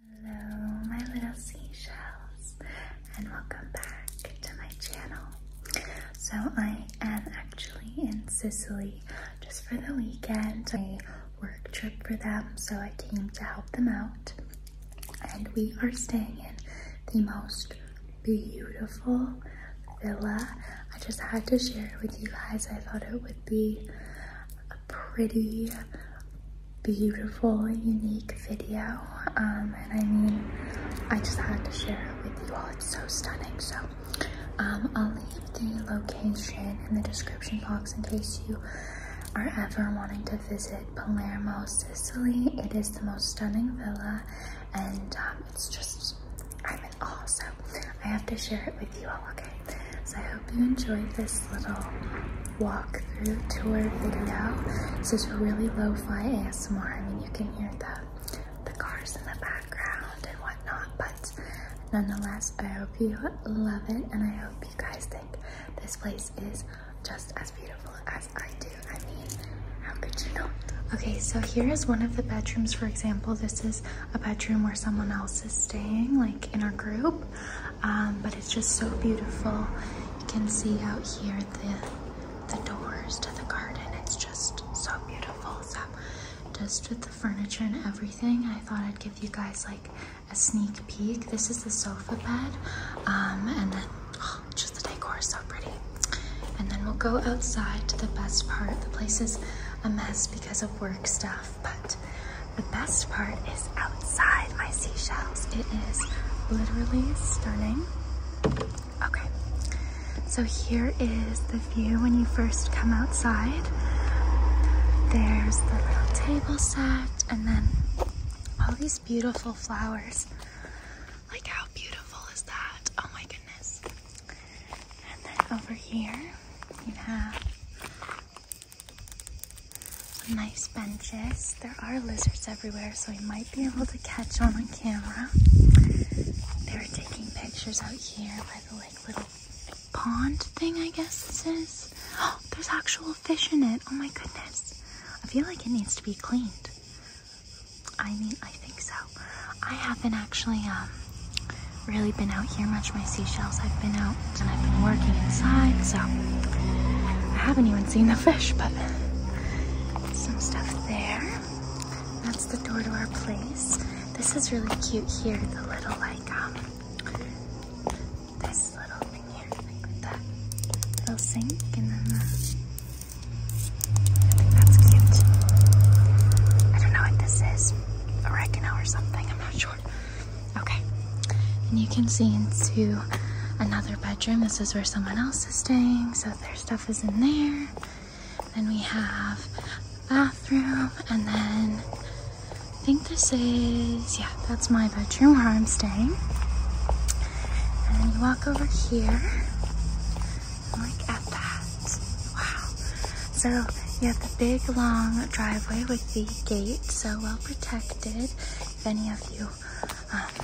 Hello, my little seashells, and welcome back to my channel. So, I am actually in Sicily just for the weekend, a work trip for them, so I came to help them out. And we are staying in the most beautiful villa. I just had to share it with you guys, I thought it would be a pretty beautiful, unique video. Um, and I mean, I just had to share it with you all. It's so stunning. So um, I'll leave the location in the description box in case you are ever wanting to visit Palermo, Sicily. It is the most stunning villa and um, it's just, i mean, in I have to share it with you all so I hope you enjoyed this little walkthrough tour video. This is really lo-fi ASMR. I mean, you can hear the the cars in the background and whatnot, but nonetheless, I hope you love it, and I hope you guys think this place is just as beautiful as I do. I mean, how could you not? Okay, so here is one of the bedrooms, for example. This is a bedroom where someone else is staying, like in our group. Um, but it's just so beautiful. You can see out here the the doors to the garden. It's just so beautiful. So just with the furniture and everything, I thought I'd give you guys like a sneak peek. This is the sofa bed, um, and then oh, just the decor is so pretty. And then we'll go outside to the best part. The place is a mess because of work stuff, but the best part is outside my seashells. It is literally stunning. Okay, so here is the view when you first come outside. There's the little table set and then all these beautiful flowers. Like how beautiful is that? Oh my goodness. And then over here you have some nice benches. There are lizards everywhere, so we might be able to catch one on camera. They were taking pictures out here by the like little pond thing, I guess this is. Oh, there's actual fish in it. Oh my goodness. I feel like it needs to be cleaned. I mean, I think so. I haven't actually um, really been out here much. My seashells, I've been out and I've been working inside, so I haven't even seen the fish, but some stuff there. That's the door to our place. This is really cute here, the little like, um, this little thing here, like little sink and then I think that's cute. I don't know what this is, a oregano or something, I'm not sure. Okay. And you can see into another bedroom. This is where someone else is staying, so their stuff is in there. Then we have bathroom, and then I think this is, yeah, that's my bedroom where I'm staying. And you walk over here. Look at that. Wow. So you have the big long driveway with the gate, so well protected connected. If any of you um,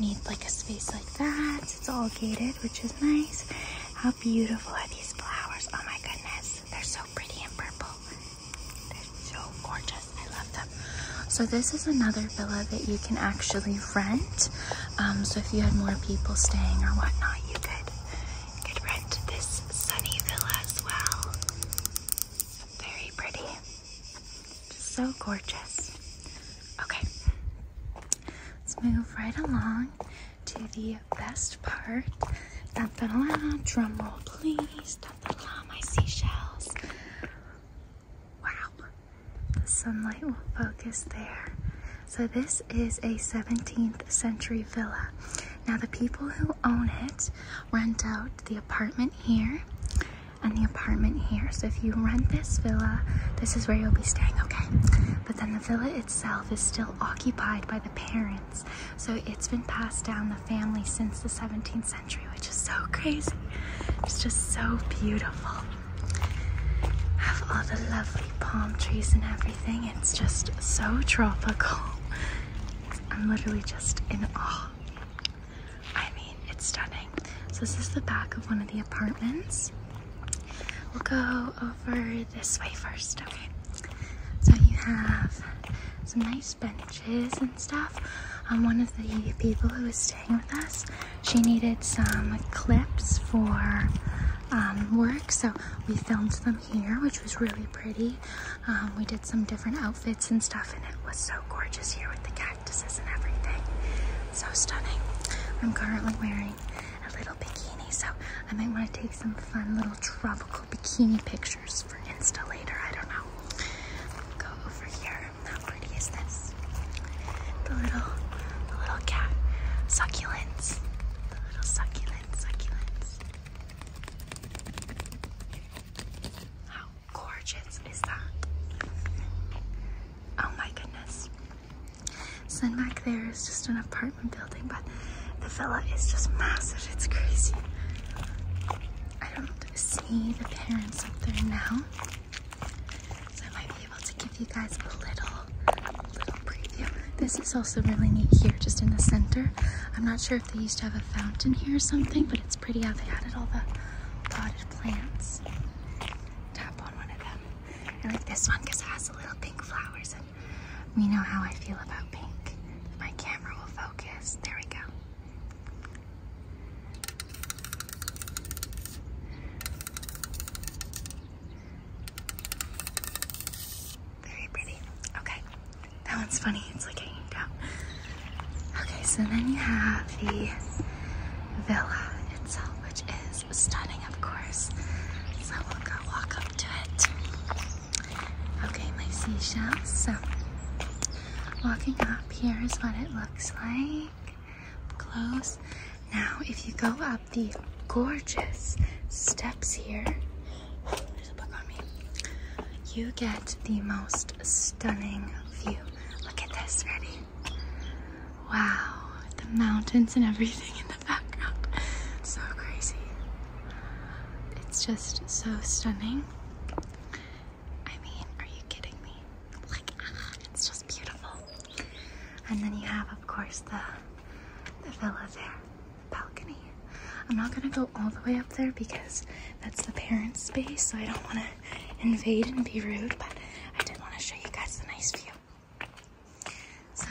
need like a space like that, it's all gated, which is nice. How beautiful are these flowers? Oh my goodness, they're so pretty and purple. They're so gorgeous. I love them. So this is another villa that you can actually rent. Um, so if you had more people staying or whatnot, you could you could rent this sunny villa as well. Very pretty. Just so gorgeous. Okay. Let's move right along to the best part. Dun, dun, dun, drum roll, please. my seashells. Wow. The sunlight will focus there. So this is a 17th century villa. Now, the people who own it rent out the apartment here and the apartment here. So, if you rent this villa, this is where you'll be staying, okay? But then the villa itself is still occupied by the parents. So, it's been passed down the family since the 17th century, which is so crazy. It's just so beautiful. Have all the lovely palm trees and everything. It's just so tropical. I'm literally just in awe. I mean, it's stunning. So this is the back of one of the apartments. We'll go over this way first, okay? So you have some nice benches and stuff. On um, one of the people who was staying with us, she needed some clips for um, work, so we filmed them here, which was really pretty. Um, we did some different outfits and stuff, and it was so gorgeous here with the cactuses and everything. So stunning. I'm currently wearing a little bikini, so I might want to take some fun little tropical bikini pictures for Insta later. I don't know. Go over here. How pretty is this? The little, the little cat succulents. The little succulents, succulents. How gorgeous is that? Oh my goodness. Sunback there is just an apartment building, but the villa is just massive. It's crazy. I don't see the parents up there now. So I might be able to give you guys a little, little preview. This is also really neat here, just in the center. I'm not sure they used to have a fountain here or something, but it's pretty how they added all the potted plants. Tap on one of them. I like this one because it has the little pink flowers, and we know how I feel about pink. My camera will focus. There we go. Very pretty. Okay. That one's funny. It's like hanging down. Okay, so then you have the villa itself, which is stunning, of course. So we'll go walk up to it. Okay, my seashells. So walking up, here is what it looks like. Close. Now, if you go up the gorgeous steps here, you get the most stunning view. Look at this, ready? Wow, the mountains and everything in the background. So crazy. It's just so stunning. I mean, are you kidding me? Like, ah, it's just beautiful. And then you have, of course, the, the villa there balcony. I'm not gonna go all the way up there because that's the parents' space, so I don't wanna invade and be rude, but I did wanna show you guys the nice view. So,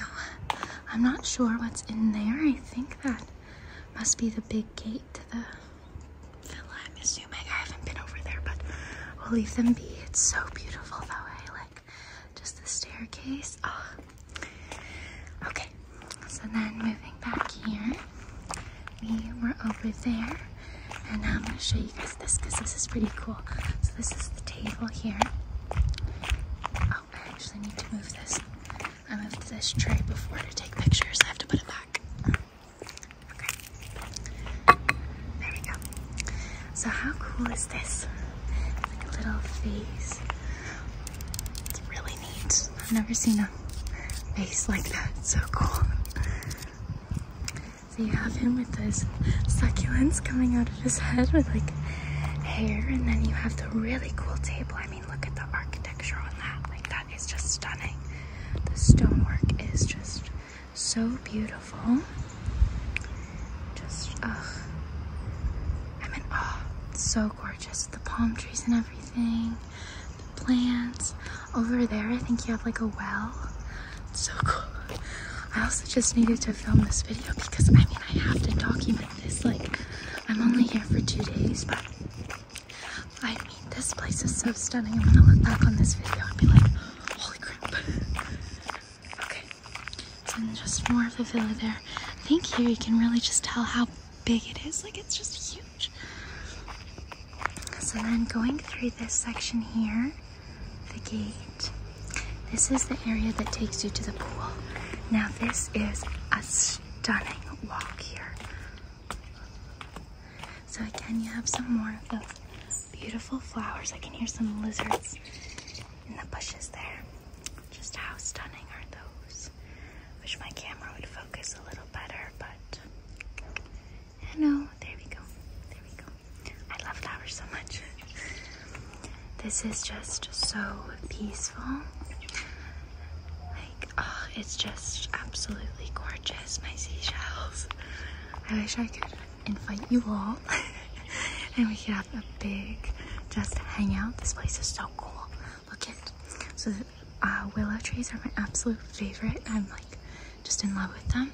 I'm not sure what's in there. I think that must be the big gate to the villa, I'm assuming. I haven't been over there, but we'll leave them be. It's so beautiful though, I like just the staircase. Oh, Okay, so then moving back here, we were over there, and now I'm going to show you guys this because this is pretty cool. So this is the table here. Oh, I actually need to move this. I moved this tray before to take pictures. I have to put it back. Okay. There we go. So how cool is this? like a little vase. It's really I've never seen a face like that. So cool. So you have him with those succulents coming out of his head with like hair, and then you have the really cool table. I mean, look at the architecture on that. Like that is just stunning. The stonework is just so beautiful. Just, oh, I'm in awe. It's so gorgeous the palm trees and everything, the plants. Over there, I think you have like a well. so cool. I also just needed to film this video because I mean, I have to document this. Like, I'm only here for two days, but I mean, this place is so stunning. I'm gonna look back on this video and be like, holy crap. Okay, so just more of the villa there. I think here you can really just tell how big it is. Like it's just huge. So then going through this section here, the gate, this is the area that takes you to the pool. Now this is a stunning walk here. So again, you have some more of those beautiful flowers. I can hear some lizards in the bushes there. Just how stunning are those? focus. Wish my camera would focus a little better, but I There we go. There we go. I love flowers so much. this is just so peaceful. Like, oh, it's just absolutely gorgeous. My seashells. I wish I could invite you all and we could have a big just hang out. This place is so cool. Look it. So the uh, willow trees are my absolute favorite. I'm like just in love with them.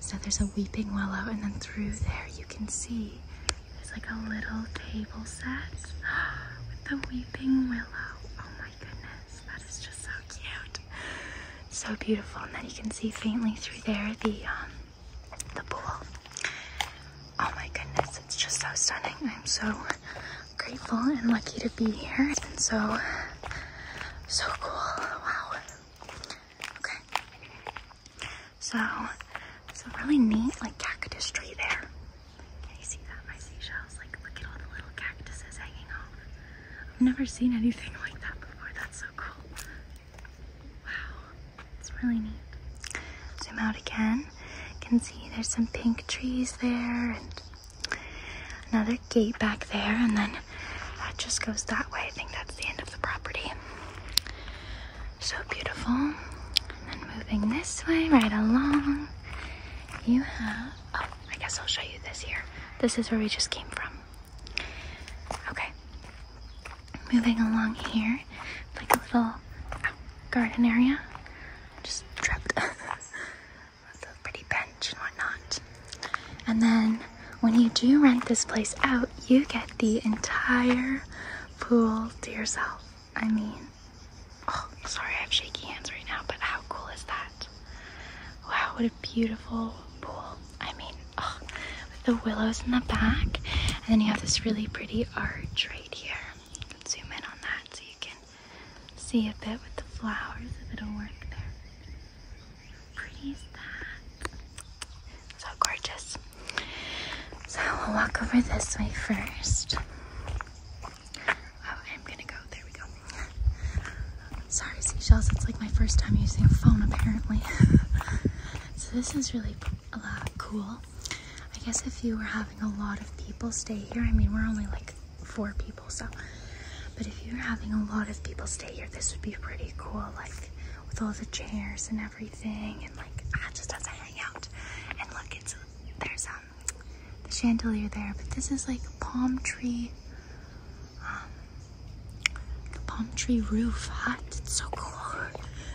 So there's a weeping willow and then through there you can see there's like a little table set with the weeping willow. Oh my goodness, that is just so cute. So beautiful. And then you can see faintly through there the, um, the pool. Oh my goodness, it's just so stunning. I'm so grateful and lucky to be here. and so, so cool. Wow. Okay. So, it's a really neat like cactus tree there. Can you see that? My seashells. Like, look at all the little cactuses hanging off. I've never seen anything like that before. That's so cool. Wow. It's really neat zoom out again, you can see there's some pink trees there and another gate back there and then that just goes that way. I think that's the end of the property. So beautiful. And then moving this way right along, you have, oh, I guess I'll show you this here. This is where we just came from. Okay. Moving along here, like a little uh, garden area just tripped with pretty bench and whatnot. And then when you do rent this place out, you get the entire pool to yourself. I mean, oh, sorry, I have shaky hands right now, but how cool is that? Wow, what a beautiful pool. I mean, oh, with the willows in the back, and then you have this really pretty arch right here zoom in on that so you can see a bit with the flowers, if it'll work there. Pretty is that? So gorgeous. So we'll walk over this way first. Oh, I'm gonna go. There we go. Sorry, seashells. It's like my first time using a phone, apparently. so this is really uh, cool. I guess if you were having a lot of people stay here, I mean, we're only like four people, so. But if you're having a lot of people stay here, this would be pretty cool, like with all the chairs and everything, and like ah, just as I hang out. And look, it's there's um the chandelier there, but this is like palm tree, um, palm tree roof hut. It's so cool.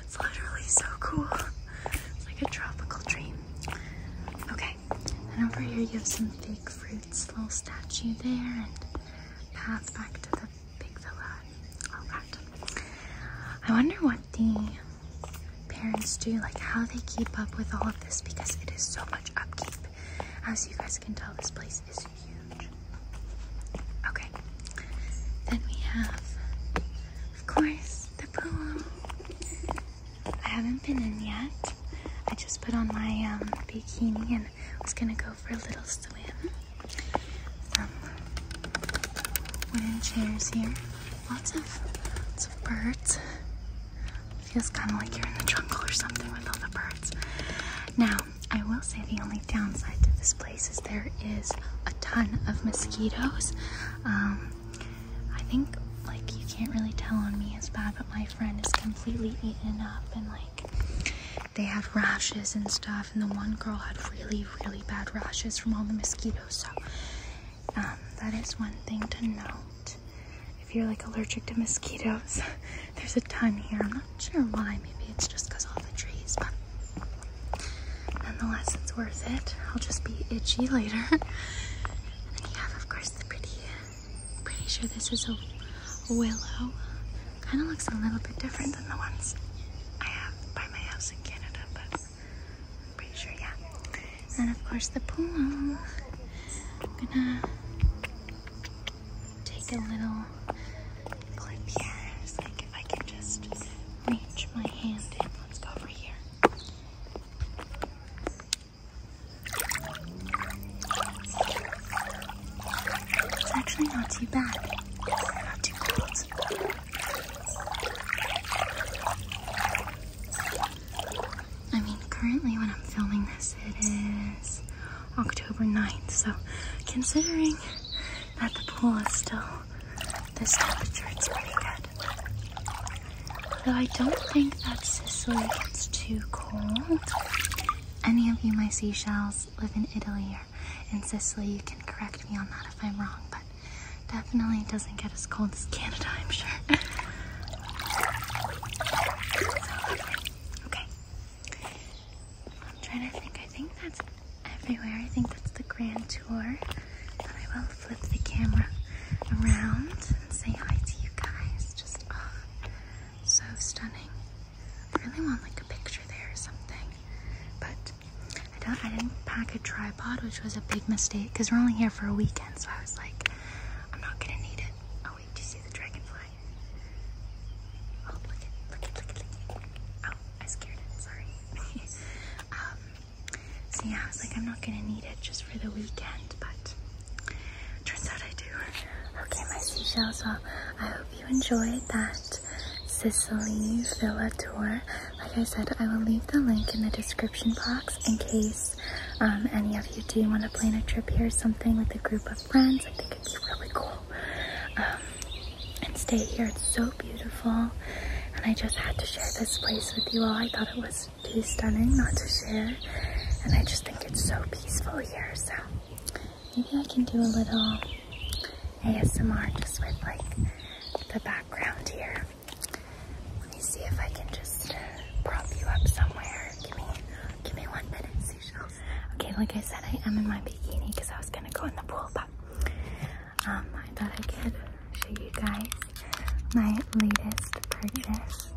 It's literally so cool. It's like a tropical dream. Okay, and over here you have some fake fruits, little statue there, and path back to the big villa. All that. I wonder what the parents do, like how they keep up with all of this because it is so much upkeep. As you guys can tell, this place is huge. Okay, then we have of course, the pool. I haven't been in yet. I just put on my um, bikini and was gonna go for a little swim. Um, wooden chairs here. Lots of, birds. Feels kind of like you're in the jungle or something with all the birds. Now, I will say the only downside to this place is there is a ton of mosquitoes. Um, I think like you can't really tell on me as bad, but my friend is completely eaten up and like they have rashes and stuff. And the one girl had really, really bad rashes from all the mosquitoes. So um, that is one thing to note. If you're like allergic to mosquitoes, there's a ton here. I'm not sure why. Maybe it's just because all the trees, but Nonetheless, it's worth it. I'll just be itchy later. and then you have, of course, the pretty, uh, pretty sure this is a willow. Kind of looks a little bit different than the ones I have by my house in Canada, but I'm pretty sure, yeah. And of course, the pool. I'm gonna take a little clip here. It's like if I can just reach my hand in. Let's go over here. It's actually not too bad. I mean, currently when I'm filming this, it is October 9th, so considering that the pool is still this temperature, it's pretty good. Though I don't think that Sicily gets too cold. Any of you, my seashells, live in Italy or in Sicily. You can correct me on that if I'm wrong, but definitely doesn't get as cold as Canada, I'm sure. okay. I'm trying to think. I think that's everywhere. I think that's the grand tour. I will flip the camera around and say hi to you guys. Just oh, so stunning. I really want like a picture there or something. But I don't I didn't pack a tripod, which was a big mistake because we're only here for a weekend, so I was like, I'm not gonna need it. Oh wait, do you see the dragonfly? Oh, oh I scared it, sorry. Um, so yeah, I was like, I'm not gonna need it just for the weekend, but turns out I do. Okay, my seashells, well, I hope you enjoyed that Sicily villa tour. Like I said, I will leave the link in the description box in case um, any of you do want to plan a trip here or something with a group of friends. I think it'd be really cool. Um, and stay here, it's so beautiful and I just had to share this place with you all. I thought it was too stunning not to share and I just think it's so peaceful here so maybe I can do a little ASMR just with like the background here. Let me see if I can just uh, prop you up somewhere. Give me, give me one minute, seashells. Okay, like I said, I am in my bikini because I was gonna go in the pool, but um, I thought I could show you guys my latest purchase.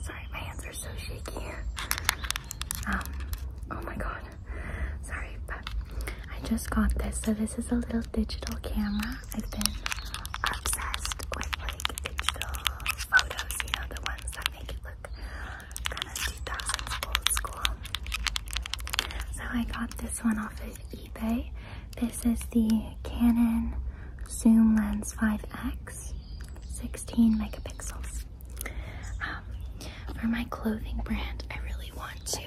Sorry, my hands are so shaky. Um, oh my god. Sorry, but I just got this. So this is a little digital camera. I've been obsessed with like digital photos, you know, the ones that make it look kind of 2000s old school. So I got this one off of eBay. This is the Canon Zoom Lens 5X, 16 megapixels. Um, for my clothing brand, I really want to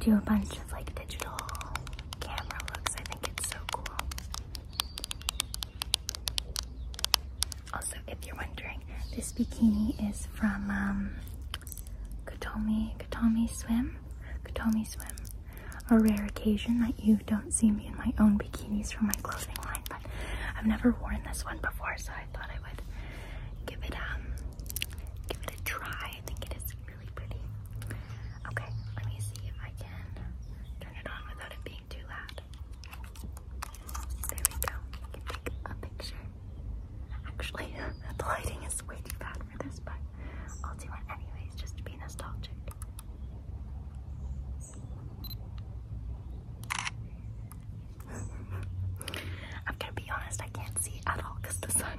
do a bunch of like digital camera looks. I think it's so cool. Also, if you're wondering, this bikini is from um, Kotomi, Kotomi swim, Kotomi swim. A rare occasion that you don't see me in my own bikinis from my clothing line, but I've never worn this one before, so I thought I would give it um give it a try. I think it is really pretty. Okay, let me see if I can turn it on without it being too loud. There we go. We can take a picture. Actually, the lighting is way too bad for this, but I'll do it anyways just to be nostalgic. I'm gonna be honest, I can't see at all because the sun.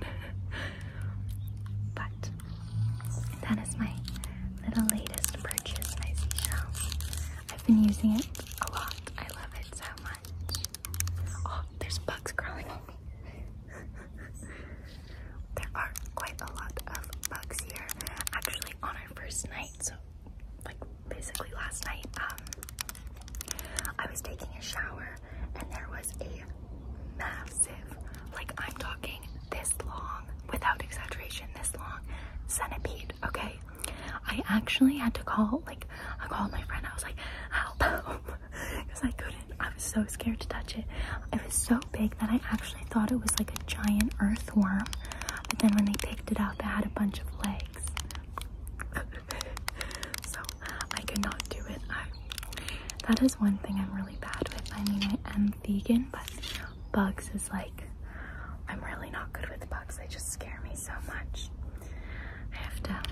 but that is my little latest purchase, my seashell. I've been using it a lot. I love it so much. Oh, there's bugs crawling on me there are quite a lot of bugs here. Actually, on our first night, so like basically last night, um, I was taking a shower and there was a massive, like I'm talking this long, without exaggeration, this long centipede. Okay, I actually had to call, like I called my friend. I was like, help. because I couldn't. I was so scared to touch it. It was so big that I actually thought it was like a giant earthworm. But then when they picked it up, they had a bunch of legs. so I could not do it. that is one thing I'm really bad with. I mean, I am vegan, but bugs is like, I'm really not good with bugs. They just scare me so much. I have to have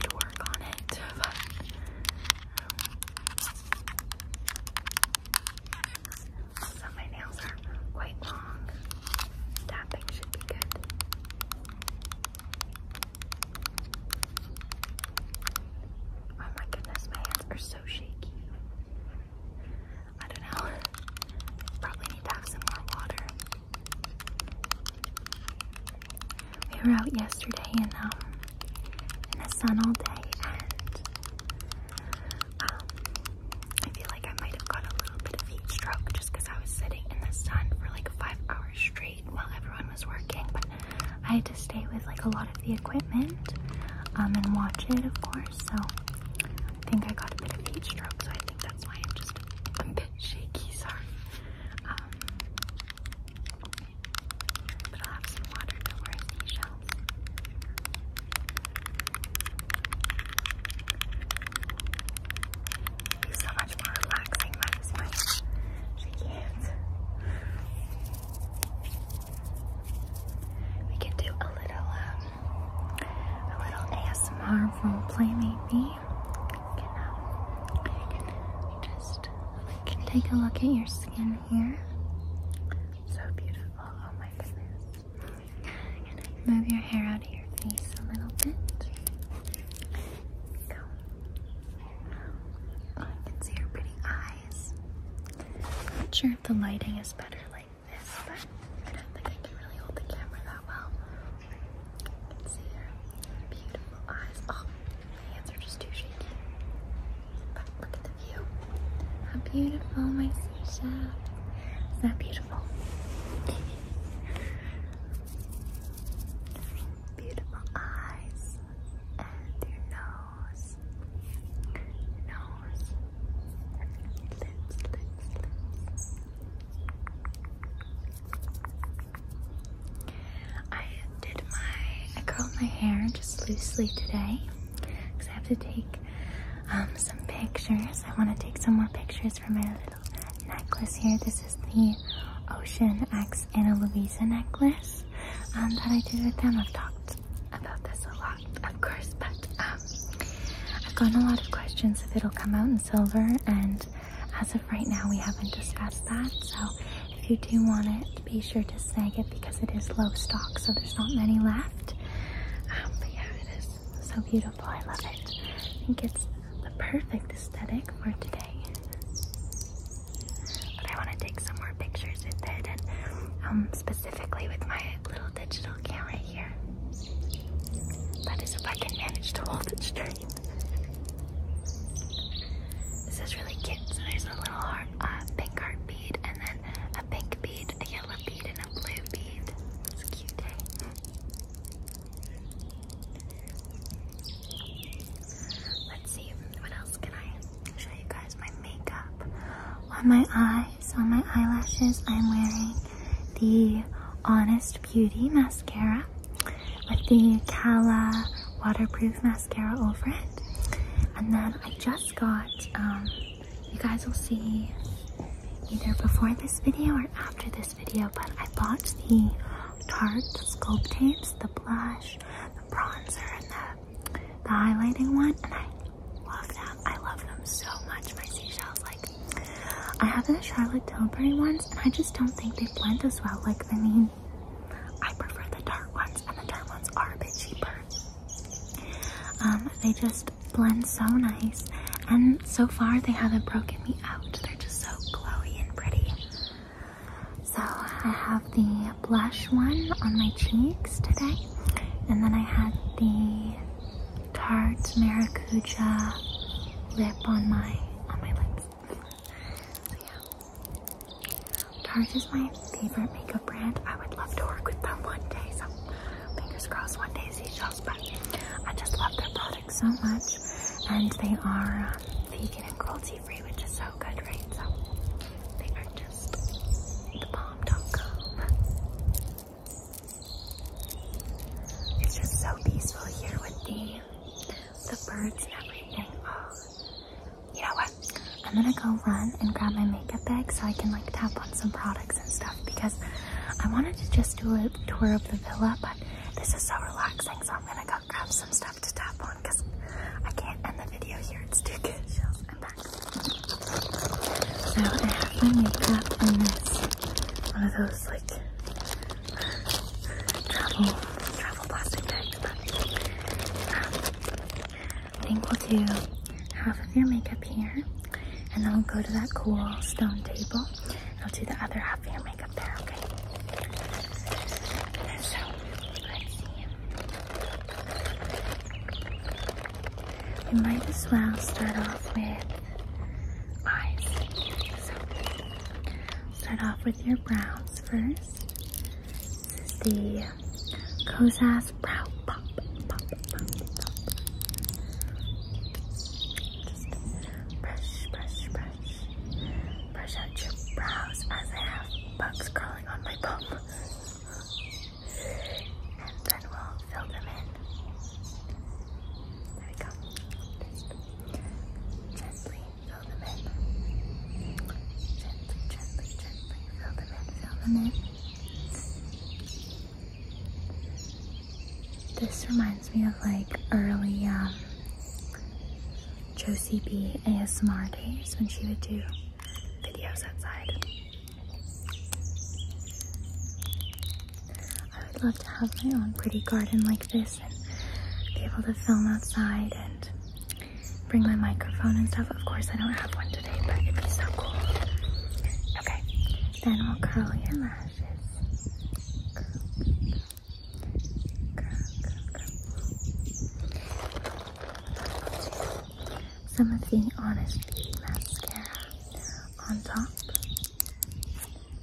to work on it. But, um, my nails are quite long. Tapping should be good. Oh my goodness, my hands are so shaky. I don't know. Probably need to have some more water. We were out yesterday um, in the sun all day and um, I feel like I might have got a little bit of heat stroke just because I was sitting in the sun for like five hours straight while everyone was working but I had to stay with like a lot of the equipment um, and watch it of course so I think I got a bit of heat stroke so I think that's why I'm just a bit shaky sorry but I'll have some water, no worries, seashells. It'd be so much more relaxing by this point. She can't. We can do a little, um, a little ASMR role play maybe me, take a look at your skin here. So beautiful. Oh my goodness. move your hair out of your face a little bit. Go. I can see your pretty eyes. not sure if the lighting is better like this, but I think I can really hold the camera that well. Oh, my hands are just too shaky. How beautiful, my seashell. Isn't that beautiful? beautiful eyes and your nose. nose. Lips, lips, lips. I curled my hair just loosely today because I have to take um, some pictures. I want to take some more pictures for my little necklace here. This is the Ocean X Anna Luisa necklace um, that I did with them. I've talked about this a lot, of course, but um, I've gotten a lot of questions if it'll come out in silver and as of right now, we haven't discussed that. So if you do want it, be sure to snag it because it is low stock, so there's not many left. Um, but yeah, it is so beautiful. I love it. I think it's the perfect aesthetic for today. But I want to take some more pictures with it, um, specifically with my little digital camera here. That is if I can manage to hold it straight. This is really cute. So there's a little heart, uh, pink heart bead, and then a pink bead, a yellow bead, and a blue bead. It's cute, eh? Let's see, what else can I show you guys? My makeup. On my eyes, on my eyelashes, I'm wearing the Honest Beauty mascara with the Cala waterproof mascara over it. And then I just got, um, you guys will see either before this video or after this video, but I bought the Tarte Sculpt Tapes, the blush, the bronzer, and the, the highlighting one, and I love them. I love them so much, my seashells. Like, I have the Charlotte Tilbury one, and I just don't think they blend as well. Like, I mean, I prefer the dark ones and the dark ones are a bit cheaper. Um, they just blend so nice and so far they haven't broken me out. They're just so glowy and pretty. So I have the blush one on my cheeks today and then I had the Tarte Maracuja lip on my on my lips. Tarte is my favorite makeup brand. I would love to work with them one day. So fingers crossed one day seashells. But I just love their products so much. And they are um, vegan and cruelty free, which is so good, right? So they are just the bomb.com. It's just so peaceful here with me the birds and everything. Oh, you know what? I'm gonna go run and grab my makeup bag so I can like tap on some products and stuff because I wanted to just do a tour of the villa, but this is so relaxing, so I'm gonna go grab some stuff to tap on because I can't end the video here. It's too good. I'm back. So I have my makeup in this one of those like um, I think we'll do half of your makeup here and then we'll go to that cool stone table I'll do the other half of your makeup there, okay? So, let's see. We might as well start off with eyes. Start off with your brows first. This is the Kozas Brow Pop. brush, brush, brush. Brush out your brows as I have bugs crawling on my bum. And then we'll fill them in. There we go. This reminds me of like early um, Josie B ASMR days when she would do videos outside. I would love to have my own pretty garden like this interested be able to film outside and bring my microphone and stuff. Of course, I don't have one today, but it'd be so cool. Okay, then we'll curl your lashes. Some of the Honest Beauty mascara on top.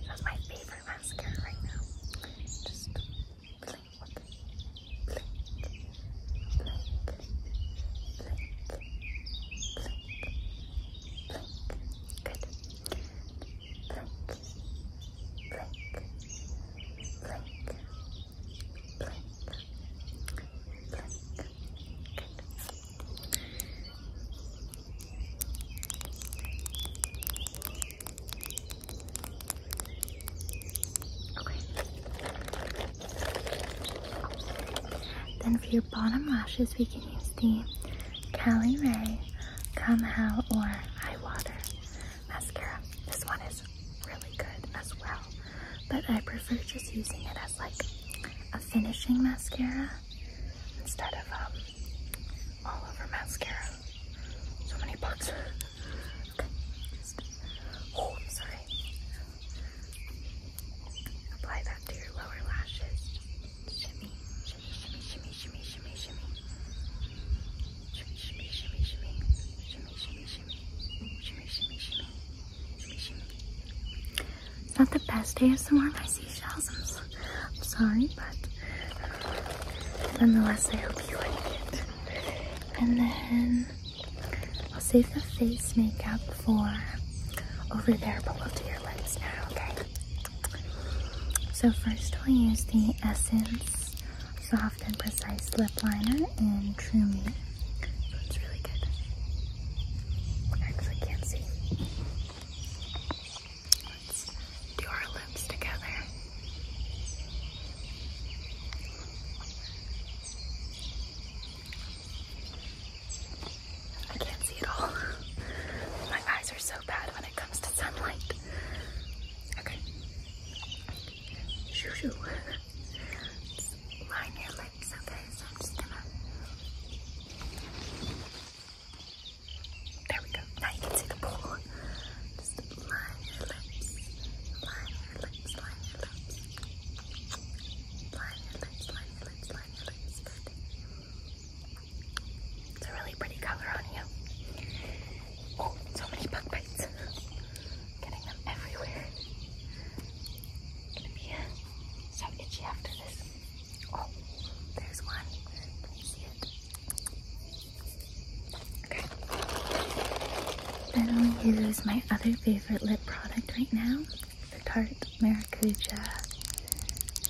That's my favorite my mascara right now. Just blink, blink, blink, blink, blink, blink. Good. Blink, blink, blink, blink, blink. Good. Then for your bottom lashes, we can use the Cali Ray Come Hell or Eye Water mascara. This one is really good as well, but I prefer just using it as like a finishing mascara instead of um, all over mascara. So many bugs. oh, I'm sorry. Apply that to your lower lashes. It's not the best day of seashells. I'm shells. I'm sorry, but nonetheless, I hope you like it. And then I'll save the face makeup for over there, but we'll do your lips now, okay? So first we'll use the Essence Soft and Precise Lip Liner in True Me. it's really good. I can't see. Let's do our lips together. I can't see it all. My eyes are so bad when it comes to sunlight. Okay. Shoo shoo. line your lips, okay? So I'm just gonna. There we go. Now you can see the pool. It's a really pretty color on you. Oh, so many bug bites. Getting them everywhere. gonna be uh, so itchy after this. Oh, there's one. Can you see it? Okay. Then i use my other favorite lip product right now, the Tarte Maracuja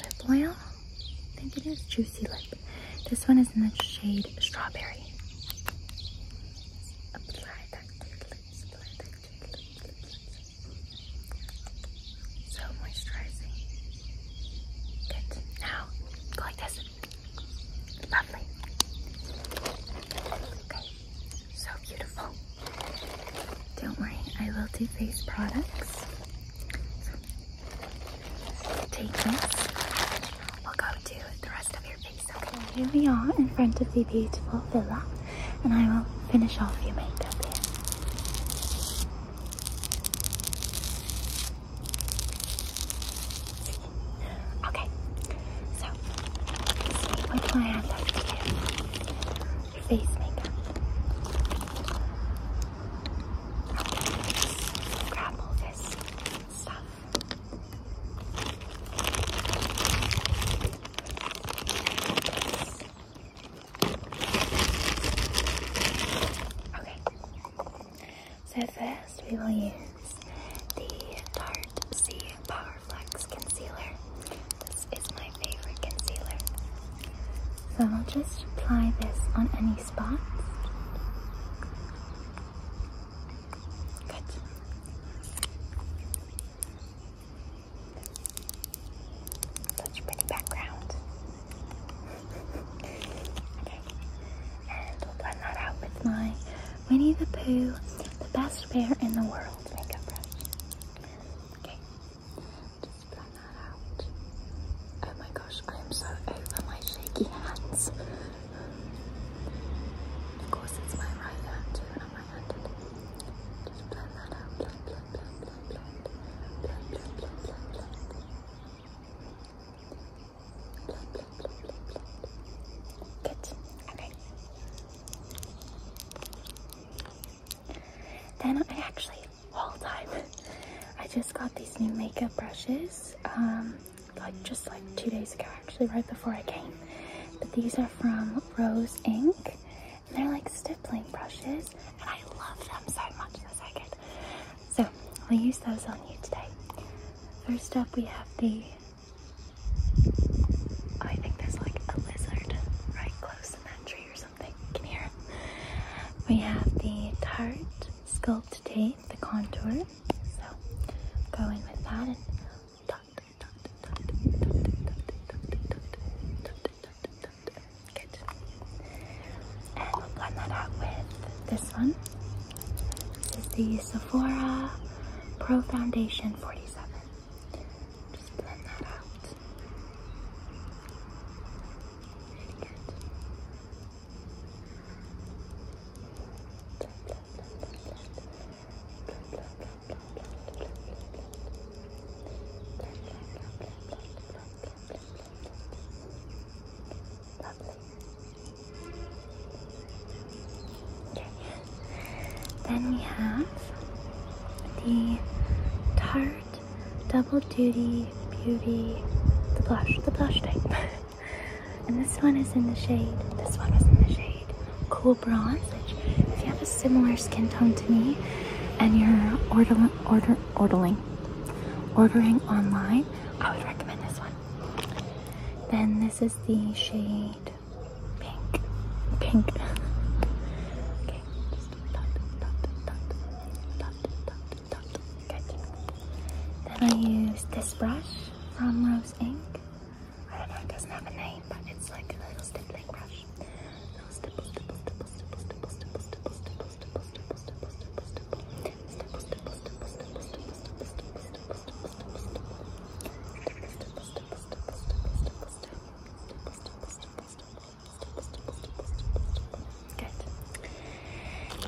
Lip Oil. I think it is Juicy Lip. This one is in the shade Strawberry. Apply that to your so moisturizing. Good. Now, go like this. Lovely. Okay. So beautiful. Don't worry, I will do face products. take this. We'll go to the rest of your face, okay? here we are in front of the beautiful villa, and I will finish off your makeup here. Okay, so with my hand up to your face makeup. Okay, grab all this stuff. Okay. So first we will use the Tarte C Power Flex Concealer. This is my favorite concealer. So I'll just apply this on any spots. Good. Such pretty background. And we'll blend that out with my Winnie the Pooh, the best bear in the world makeup brush. Okay, just blend that out. Oh my gosh, I am so over my shaky hands. Of course, it's my right hand too, and Just blend that out. Okay. Then I actually, all time, I just got these new makeup brushes, um, like just like two days ago, actually, right before I came. But these are from Rose Ink, and they're like stippling brushes and I love them so much this second. So we'll use those on you today. First up we have the I think there's like a lizard right close in that tree or something. Can hear We have the tart Sculpt Tape, the contour. So go in with that and we'll blend that out with this one. This is the Sephora Pro Foundation 47. Just blend that out. Really good. Then we have the Tarte Double Duty Beauty, the blush, the blush type. and this one is in the shade, this one is in the shade Cool Bronze, if you have a similar skin tone to me and you're order, order, ordering. Ordering online, I would recommend this one. Then this is the shade pink. Pink. Then I use this brush from Rose Ink. I don't know, it doesn't have a name, but it's like a little stippling brush.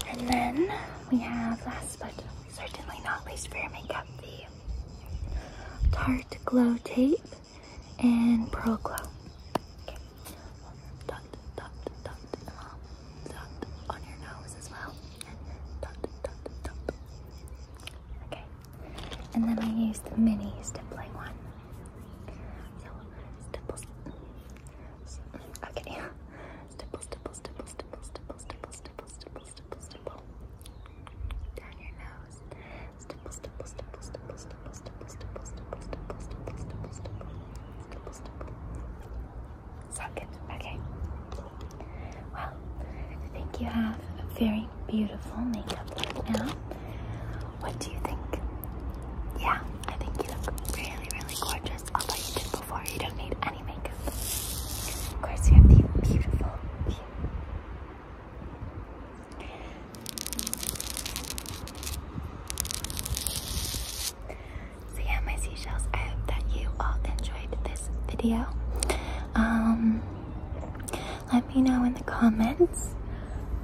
And then we have last but certainly not least for your makeup the Tarte Glow Tape and Pearl Glow. Okay. And then I use the mini stippling one. Okay. Okay. Well, I think you have a very beautiful makeup look now. What do you think? Yeah, I think you look really, really gorgeous. Although you did before, you don't need any makeup. Of course, you have the Beautiful. So yeah, my seashells, I hope that you all enjoyed this video. Um, let me know in the comments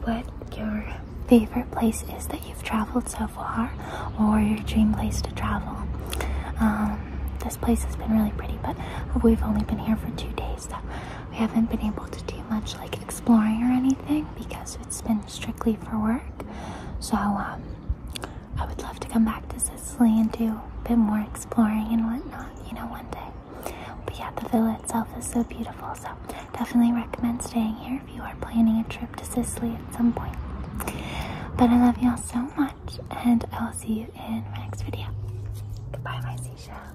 what your favorite place is that you've traveled so far or your dream place to travel. Um, this place has been really pretty, but we've only been here for two days, so we haven't been able to do much like exploring or anything because it's been strictly for work. So um, I would love to come back to Sicily and do a bit more exploring and whatnot, you know, one day. But yeah, the villa itself is so beautiful. So definitely recommend staying here if you are planning a trip to Sicily at some point. But I love y'all so much, and I will see you in my next video. Goodbye, my seashells.